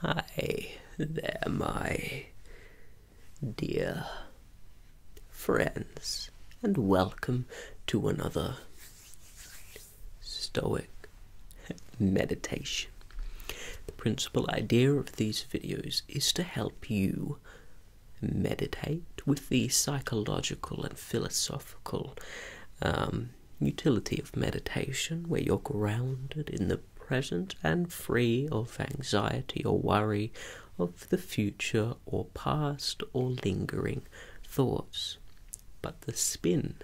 Hi there, my dear friends, and welcome to another Stoic meditation. The principal idea of these videos is to help you meditate with the psychological and philosophical um, utility of meditation where you're grounded in the present and free of anxiety or worry of the future or past or lingering thoughts. But the spin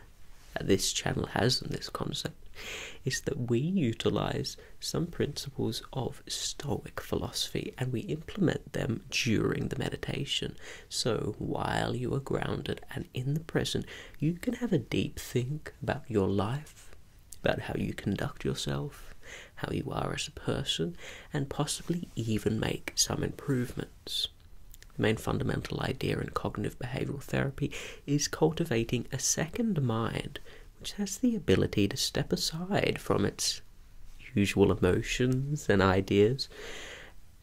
that this channel has on this concept is that we utilize some principles of Stoic philosophy and we implement them during the meditation. So while you are grounded and in the present, you can have a deep think about your life, about how you conduct yourself, how you are as a person, and possibly even make some improvements. The main fundamental idea in cognitive behavioral therapy is cultivating a second mind which has the ability to step aside from its usual emotions and ideas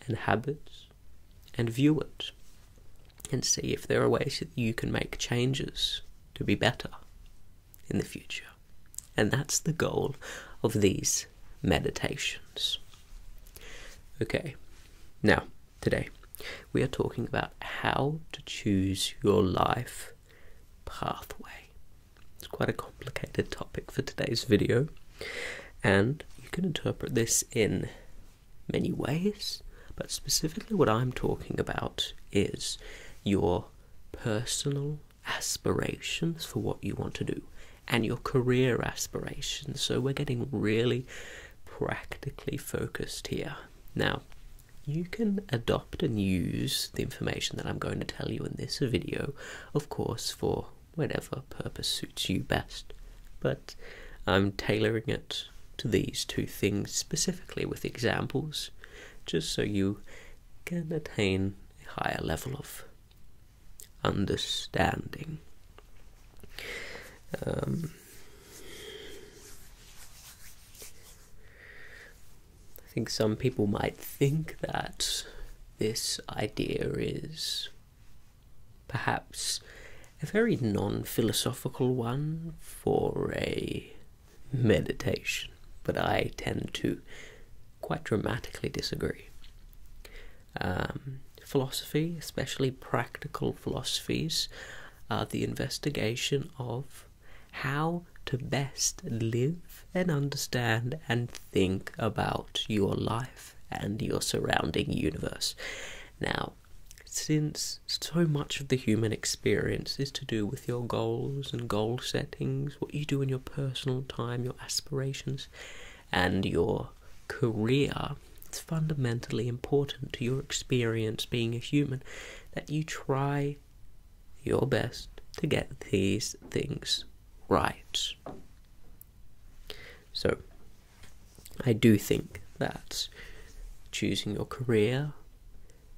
and habits and view it and see if there are ways that you can make changes to be better in the future. And that's the goal of these meditations. Okay, now today we are talking about how to choose your life pathway. It's quite a complicated topic for today's video, and you can interpret this in many ways, but specifically, what I'm talking about is your personal aspirations for what you want to do and your career aspirations. So, we're getting really practically focused here. Now, you can adopt and use the information that I'm going to tell you in this video, of course, for whatever purpose suits you best. But I'm tailoring it to these two things specifically with examples, just so you can attain a higher level of understanding. Um, I think some people might think that this idea is perhaps a very non philosophical one for a meditation, but I tend to quite dramatically disagree. Um, philosophy, especially practical philosophies, are the investigation of how to best live and understand and think about your life and your surrounding universe. Now, since so much of the human experience is to do with your goals and goal settings, what you do in your personal time, your aspirations, and your career, it's fundamentally important to your experience being a human that you try your best to get these things right. So, I do think that choosing your career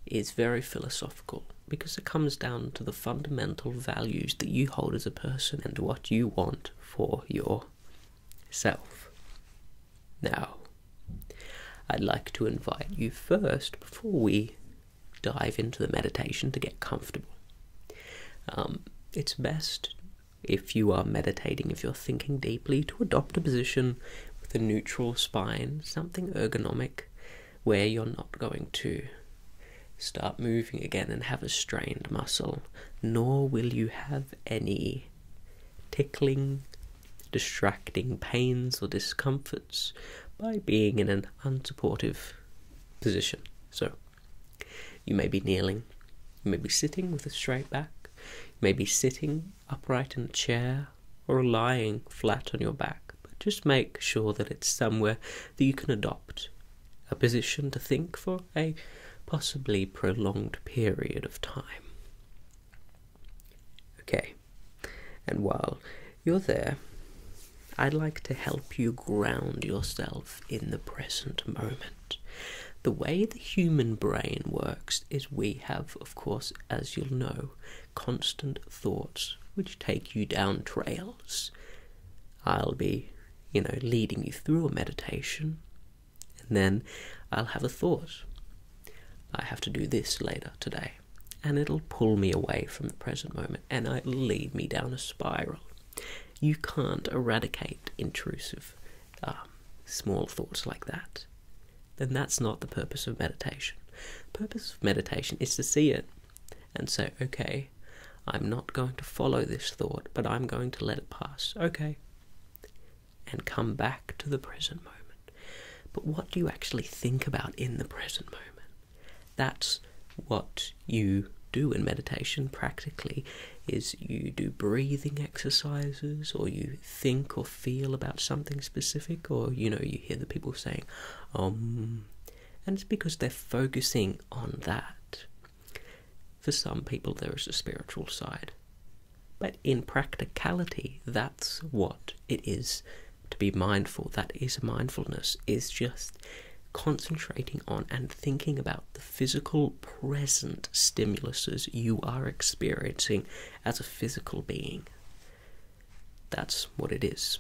is very philosophical because it comes down to the fundamental values that you hold as a person and what you want for yourself. Now, I'd like to invite you first before we dive into the meditation to get comfortable. Um, it's best if you are meditating, if you're thinking deeply, to adopt a position with a neutral spine, something ergonomic where you're not going to start moving again and have a strained muscle, nor will you have any tickling, distracting pains or discomforts by being in an unsupportive position. So, you may be kneeling, you may be sitting with a straight back, you may be sitting upright in a chair or lying flat on your back, but just make sure that it's somewhere that you can adopt a position to think for a possibly prolonged period of time. Okay, and while you're there, I'd like to help you ground yourself in the present moment. The way the human brain works is we have, of course, as you'll know, constant thoughts which take you down trails. I'll be, you know, leading you through a meditation, and then I'll have a thought. I have to do this later today, and it'll pull me away from the present moment and it'll lead me down a spiral. You can't eradicate intrusive um, small thoughts like that. Then that's not the purpose of meditation. Purpose of meditation is to see it and say, okay, I'm not going to follow this thought, but I'm going to let it pass. Okay. And come back to the present moment. But what do you actually think about in the present moment? that's what you do in meditation practically is you do breathing exercises or you think or feel about something specific or you know you hear the people saying um and it's because they're focusing on that for some people there is a spiritual side but in practicality that's what it is to be mindful that is mindfulness is just concentrating on and thinking about the physical present stimuluses you are experiencing as a physical being. That's what it is.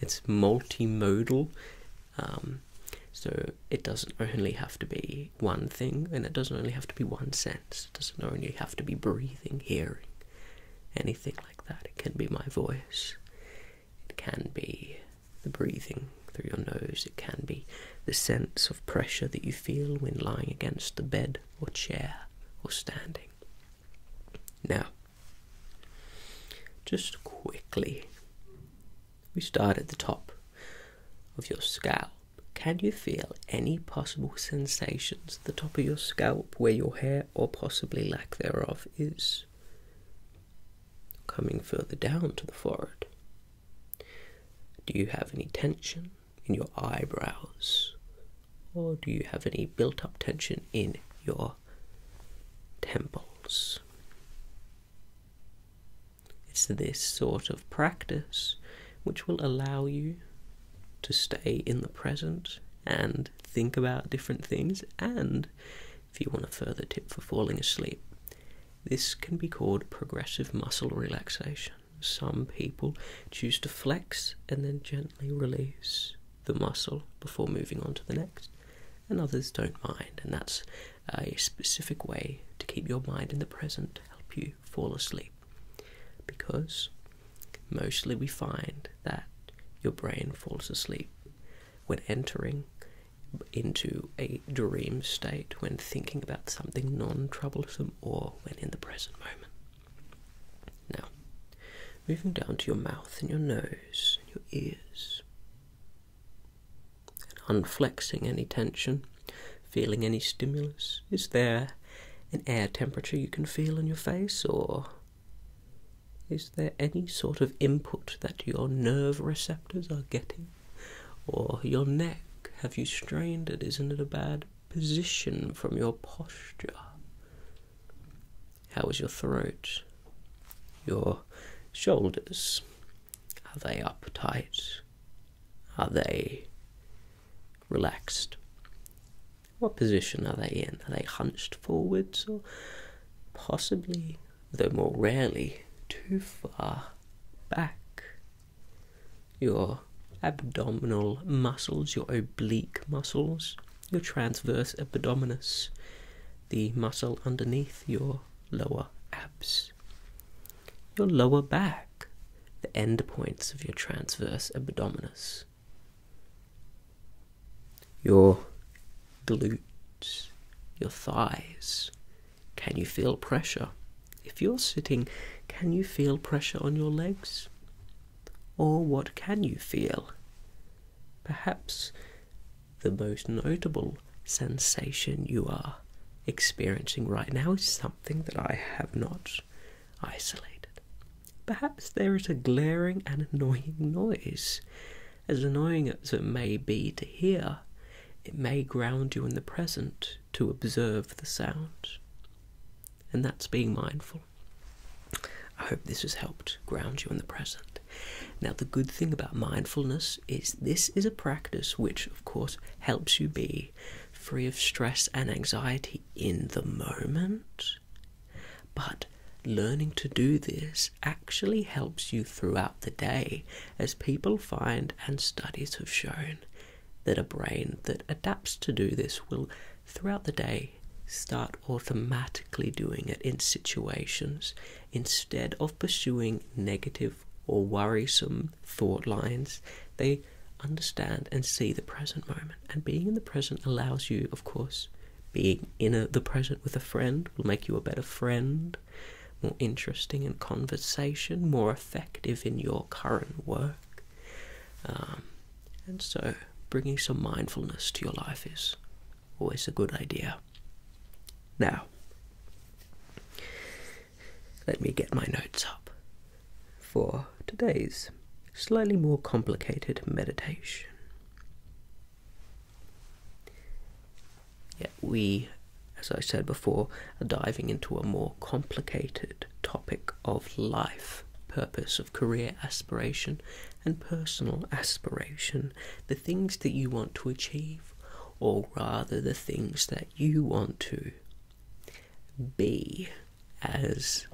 It's multimodal, um, so it doesn't only have to be one thing, and it doesn't only have to be one sense. It doesn't only have to be breathing, hearing, anything like that. It can be my voice, it can be the breathing through your nose, it can be the sense of pressure that you feel when lying against the bed or chair or standing. Now, just quickly, we start at the top of your scalp. Can you feel any possible sensations at the top of your scalp where your hair or possibly lack thereof is? coming further down to the forehead? Do you have any tension in your eyebrows? Or do you have any built up tension in your temples? It's this sort of practice which will allow you to stay in the present and think about different things and if you want a further tip for falling asleep, this can be called progressive muscle relaxation. Some people choose to flex and then gently release the muscle before moving on to the next, and others don't mind, and that's a specific way to keep your mind in the present help you fall asleep because mostly we find that your brain falls asleep when entering into a dream state, when thinking about something non troublesome, or when in the present moment. Now, moving down to your mouth and your nose and your ears, and unflexing any tension, feeling any stimulus. Is there an air temperature you can feel in your face, or is there any sort of input that your nerve receptors are getting? Or your neck? Have you strained it? Isn't it a bad position from your posture? How is your throat? Your shoulders? Are they uptight? Are they relaxed? What position are they in? Are they hunched forwards or possibly though more rarely too far back. Your abdominal muscles, your oblique muscles, your transverse abdominis, the muscle underneath your lower abs, your lower back, the end points of your transverse abdominis your glutes, your thighs. Can you feel pressure? If you're sitting, can you feel pressure on your legs? Or what can you feel? Perhaps the most notable sensation you are experiencing right now is something that I have not isolated. Perhaps there is a glaring and annoying noise as annoying as it may be to hear, it may ground you in the present to observe the sound. And that's being mindful. I hope this has helped ground you in the present. Now, the good thing about mindfulness is this is a practice which, of course, helps you be free of stress and anxiety in the moment. But learning to do this actually helps you throughout the day, as people find and studies have shown that a brain that adapts to do this will, throughout the day, start automatically doing it in situations instead of pursuing negative or worrisome thought lines. They understand and see the present moment, and being in the present allows you, of course, being in the present with a friend will make you a better friend, more interesting in conversation, more effective in your current work. Um, and so, bringing some mindfulness to your life is always a good idea. Now, let me get my notes up for today's slightly more complicated meditation. Yet we, as I said before, are diving into a more complicated topic of life, purpose of career aspiration, and personal aspiration. The things that you want to achieve, or rather the things that you want to be as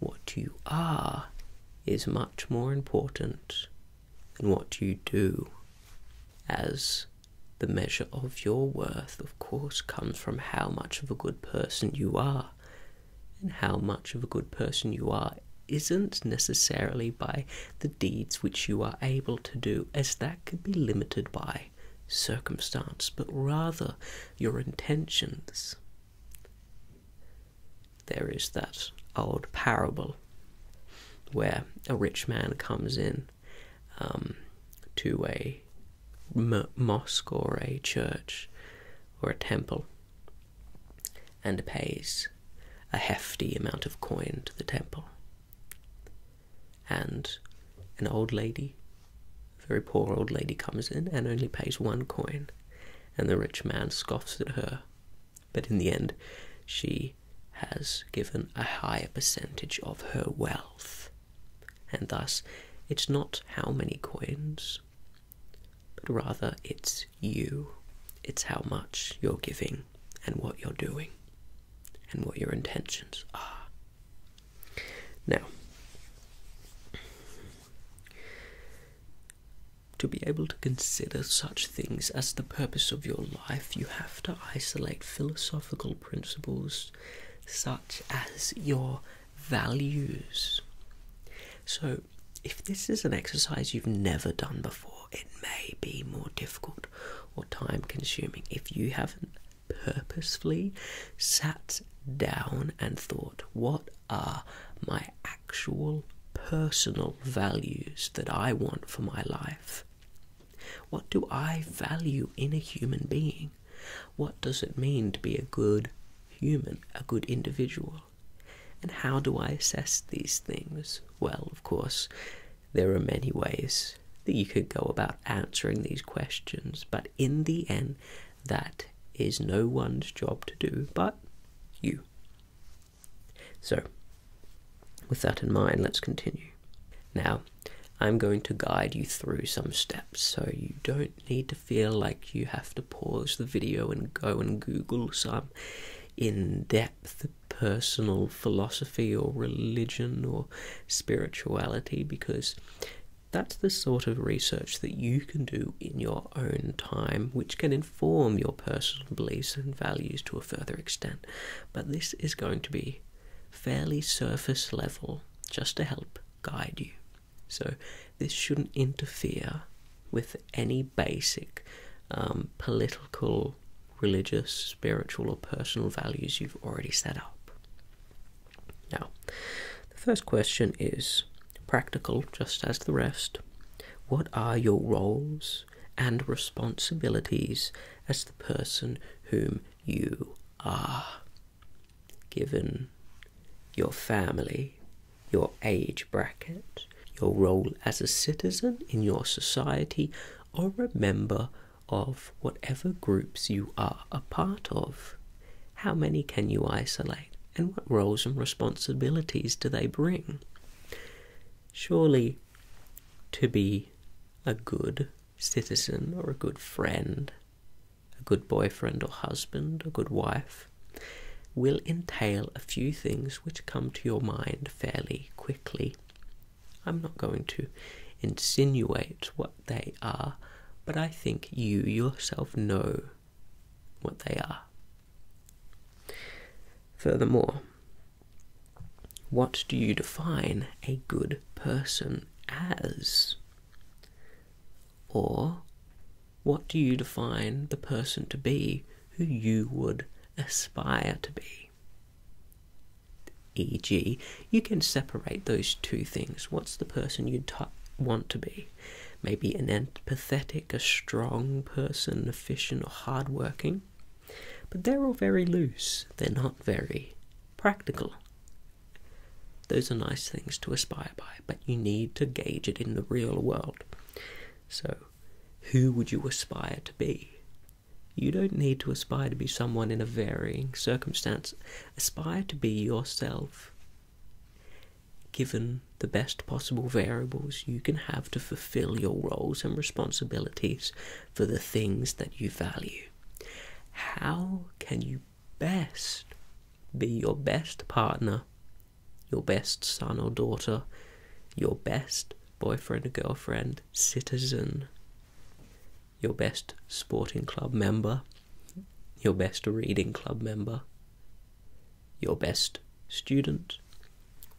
what you are is much more important than what you do, as the measure of your worth, of course, comes from how much of a good person you are. And how much of a good person you are isn't necessarily by the deeds which you are able to do, as that could be limited by circumstance, but rather your intentions. There is that old parable where a rich man comes in um, to a mosque or a church or a temple and pays a hefty amount of coin to the temple. And an old lady, a very poor old lady, comes in and only pays one coin and the rich man scoffs at her. But in the end, she has given a higher percentage of her wealth, and thus it's not how many coins, but rather it's you. It's how much you're giving and what you're doing and what your intentions are. Now, to be able to consider such things as the purpose of your life, you have to isolate philosophical principles such as your values. So, if this is an exercise you've never done before, it may be more difficult or time consuming if you haven't purposefully sat down and thought, What are my actual personal values that I want for my life. What do I value in a human being? What does it mean to be a good human, a good individual? And how do I assess these things? Well, of course, there are many ways that you could go about answering these questions, but in the end, that is no one's job to do but you. So, with that in mind, let's continue. Now, I'm going to guide you through some steps so you don't need to feel like you have to pause the video and go and Google some in depth personal philosophy or religion or spirituality because that's the sort of research that you can do in your own time, which can inform your personal beliefs and values to a further extent. But this is going to be fairly surface level just to help guide you. So, this shouldn't interfere with any basic um, political, religious, spiritual, or personal values you've already set up. Now, the first question is practical just as the rest. What are your roles and responsibilities as the person whom you are? Given your family, your age bracket, your role as a citizen in your society, or a member of whatever groups you are a part of. How many can you isolate, and what roles and responsibilities do they bring? Surely, to be a good citizen or a good friend, a good boyfriend or husband, a good wife, will entail a few things which come to your mind fairly quickly. I'm not going to insinuate what they are, but I think you yourself know what they are. Furthermore, what do you define a good person as? Or what do you define the person to be who you would aspire to be? E.g., you can separate those two things. What's the person you want to be? maybe an empathetic, a strong person, efficient or hardworking. But they're all very loose. They're not very practical. Those are nice things to aspire by, but you need to gauge it in the real world. So, who would you aspire to be? You don't need to aspire to be someone in a varying circumstance. Aspire to be yourself given the best possible variables you can have to fulfill your roles and responsibilities for the things that you value. How can you best be your best partner, your best son or daughter, your best boyfriend or girlfriend, citizen, your best sporting club member, your best reading club member, your best student.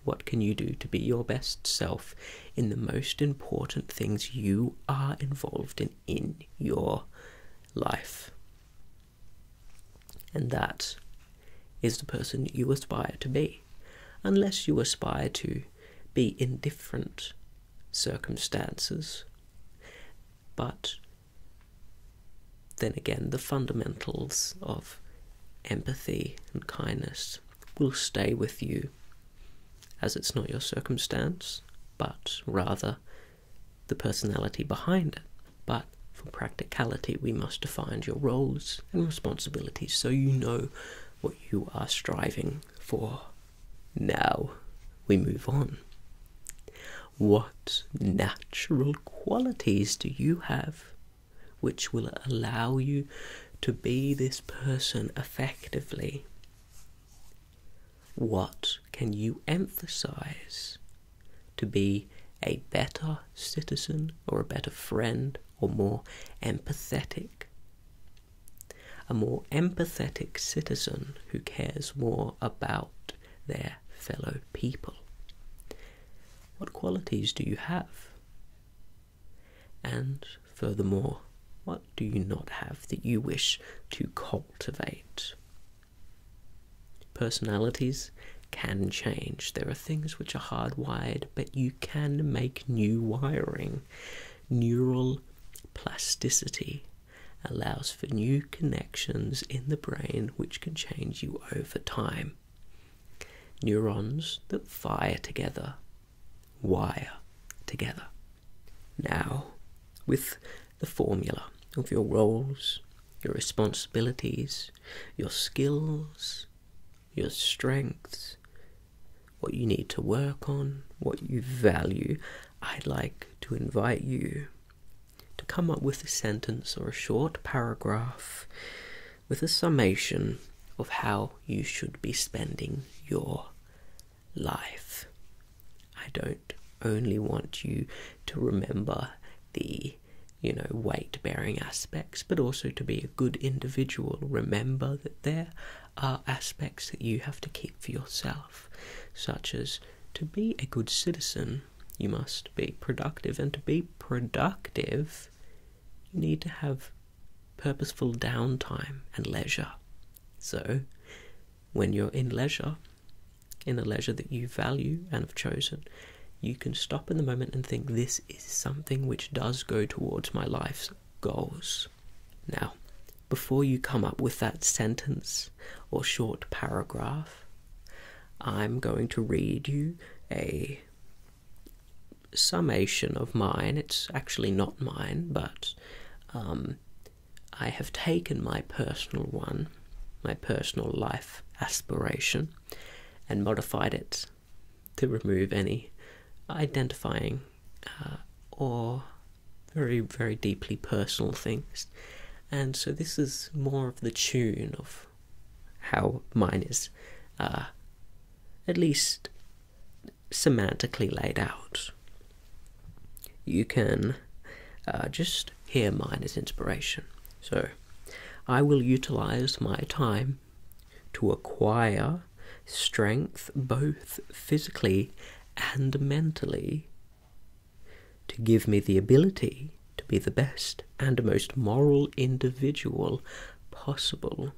What can you do to be your best self in the most important things you are involved in in your life? And that is the person you aspire to be, unless you aspire to be in different circumstances but then again, the fundamentals of empathy and kindness will stay with you as it's not your circumstance, but rather the personality behind it. But for practicality, we must define your roles and responsibilities so you know what you are striving for now we move on. What natural qualities do you have which will allow you to be this person effectively? What can you emphasize to be a better citizen or a better friend or more empathetic? A more empathetic citizen who cares more about their fellow people. What qualities do you have? And furthermore, what do you not have that you wish to cultivate? Personalities can change. There are things which are hardwired, but you can make new wiring. Neural plasticity allows for new connections in the brain which can change you over time. Neurons that fire together, wire together. Now, with the formula of your roles, your responsibilities, your skills, your strengths, what you need to work on, what you value, I'd like to invite you to come up with a sentence or a short paragraph with a summation of how you should be spending your life. I don't only want you to remember the you know weight bearing aspects but also to be a good individual remember that there are aspects that you have to keep for yourself such as to be a good citizen, you must be productive, and to be productive, you need to have purposeful downtime and leisure. So, when you're in leisure, in a leisure that you value and have chosen, you can stop in the moment and think, This is something which does go towards my life's goals. Now, before you come up with that sentence or short paragraph, I'm going to read you a summation of mine. It's actually not mine, but um, I have taken my personal one, my personal life aspiration, and modified it to remove any identifying uh, or very, very deeply personal things. And so this is more of the tune of how mine is, uh, at least semantically laid out. You can uh, just hear mine as inspiration. So I will utilize my time to acquire strength both physically and mentally to give me the ability to be the best and most moral individual possible.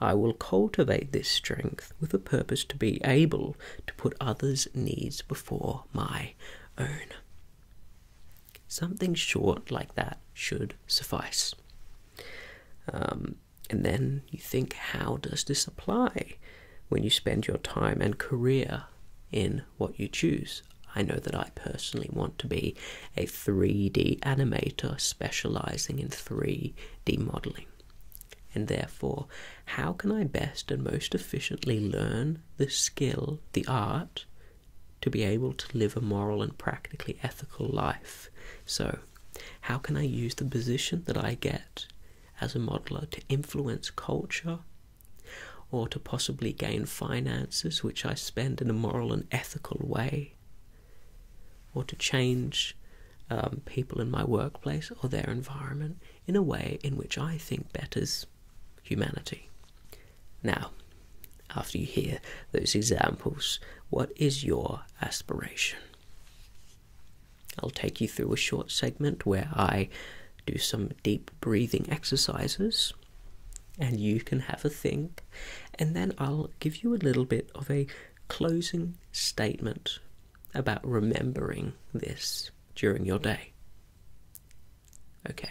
I will cultivate this strength with a purpose to be able to put others' needs before my own. Something short like that should suffice. Um, and then you think, how does this apply when you spend your time and career in what you choose? I know that I personally want to be a 3D animator specializing in 3D modeling. And therefore, how can I best and most efficiently learn the skill, the art, to be able to live a moral and practically ethical life? So, how can I use the position that I get as a modeler to influence culture or to possibly gain finances which I spend in a moral and ethical way, or to change um, people in my workplace or their environment in a way in which I think betters humanity. Now, after you hear those examples, what is your aspiration? I'll take you through a short segment where I do some deep breathing exercises and you can have a think, and then I'll give you a little bit of a closing statement about remembering this during your day. Okay.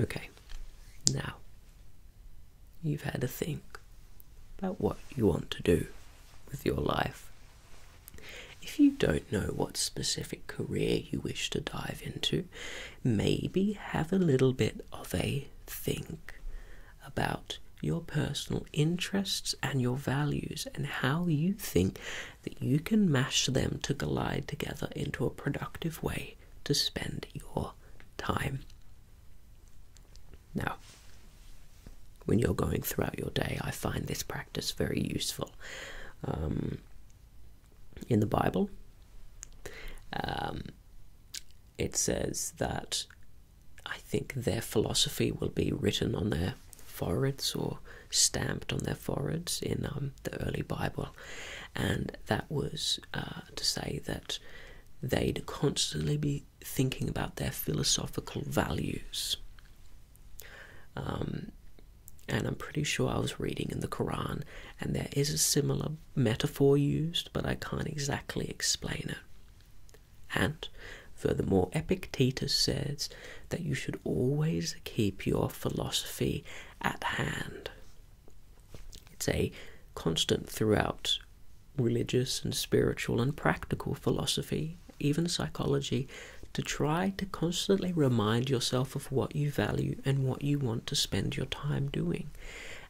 Okay, now you've had a think about what you want to do with your life. If you don't know what specific career you wish to dive into, maybe have a little bit of a think about your personal interests and your values and how you think that you can mash them to collide together into a productive way to spend your time. Now, when you're going throughout your day, I find this practice very useful. Um, in the Bible, um, it says that I think their philosophy will be written on their foreheads or stamped on their foreheads in um, the early Bible, and that was uh, to say that they'd constantly be thinking about their philosophical values. Um, and I'm pretty sure I was reading in the Quran, and there is a similar metaphor used, but I can't exactly explain it. And furthermore, Epictetus says that you should always keep your philosophy at hand. It's a constant throughout religious and spiritual and practical philosophy, even psychology, to try to constantly remind yourself of what you value and what you want to spend your time doing.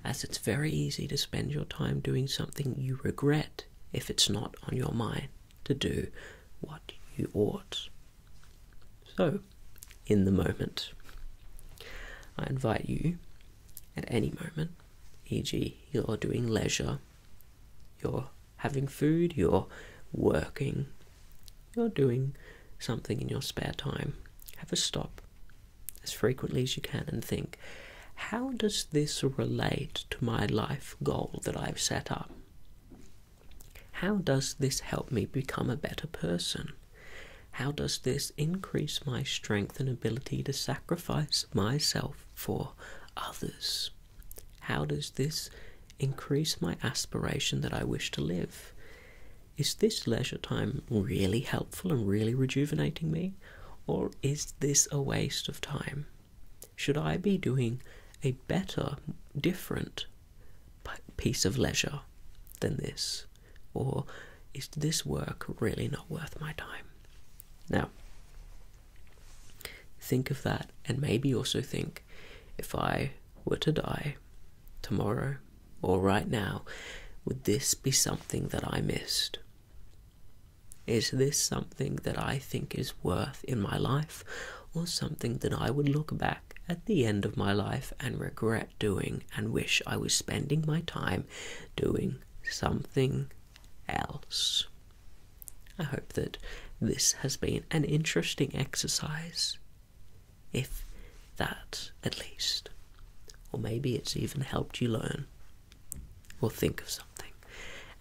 As it's very easy to spend your time doing something you regret if it's not on your mind to do what you ought. So, in the moment, I invite you at any moment, e.g., you're doing leisure, you're having food, you're working, you're doing something in your spare time, have a stop as frequently as you can and think, how does this relate to my life goal that I've set up. How does this help me become a better person? How does this increase my strength and ability to sacrifice myself for others? How does this increase my aspiration that I wish to live? Is this leisure time really helpful and really rejuvenating me? Or is this a waste of time? should I be doing a better, different piece of leisure than this? Or is this work really not worth my time? Now, think of that, and maybe also think if I were to die tomorrow or right now, would this be something that I missed? Is this something that I think is worth in my life, or something that I would look back at the end of my life and regret doing and wish I was spending my time doing something else? I hope that this has been an interesting exercise, if that at least. Or maybe it's even helped you learn or think of something.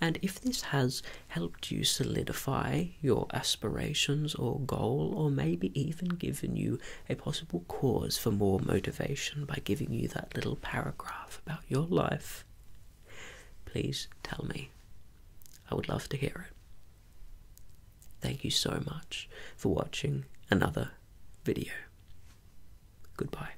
And if this has helped you solidify your aspirations or goal, or maybe even given you a possible cause for more motivation by giving you that little paragraph about your life, please tell me. I would love to hear it. Thank you so much for watching another video. Goodbye.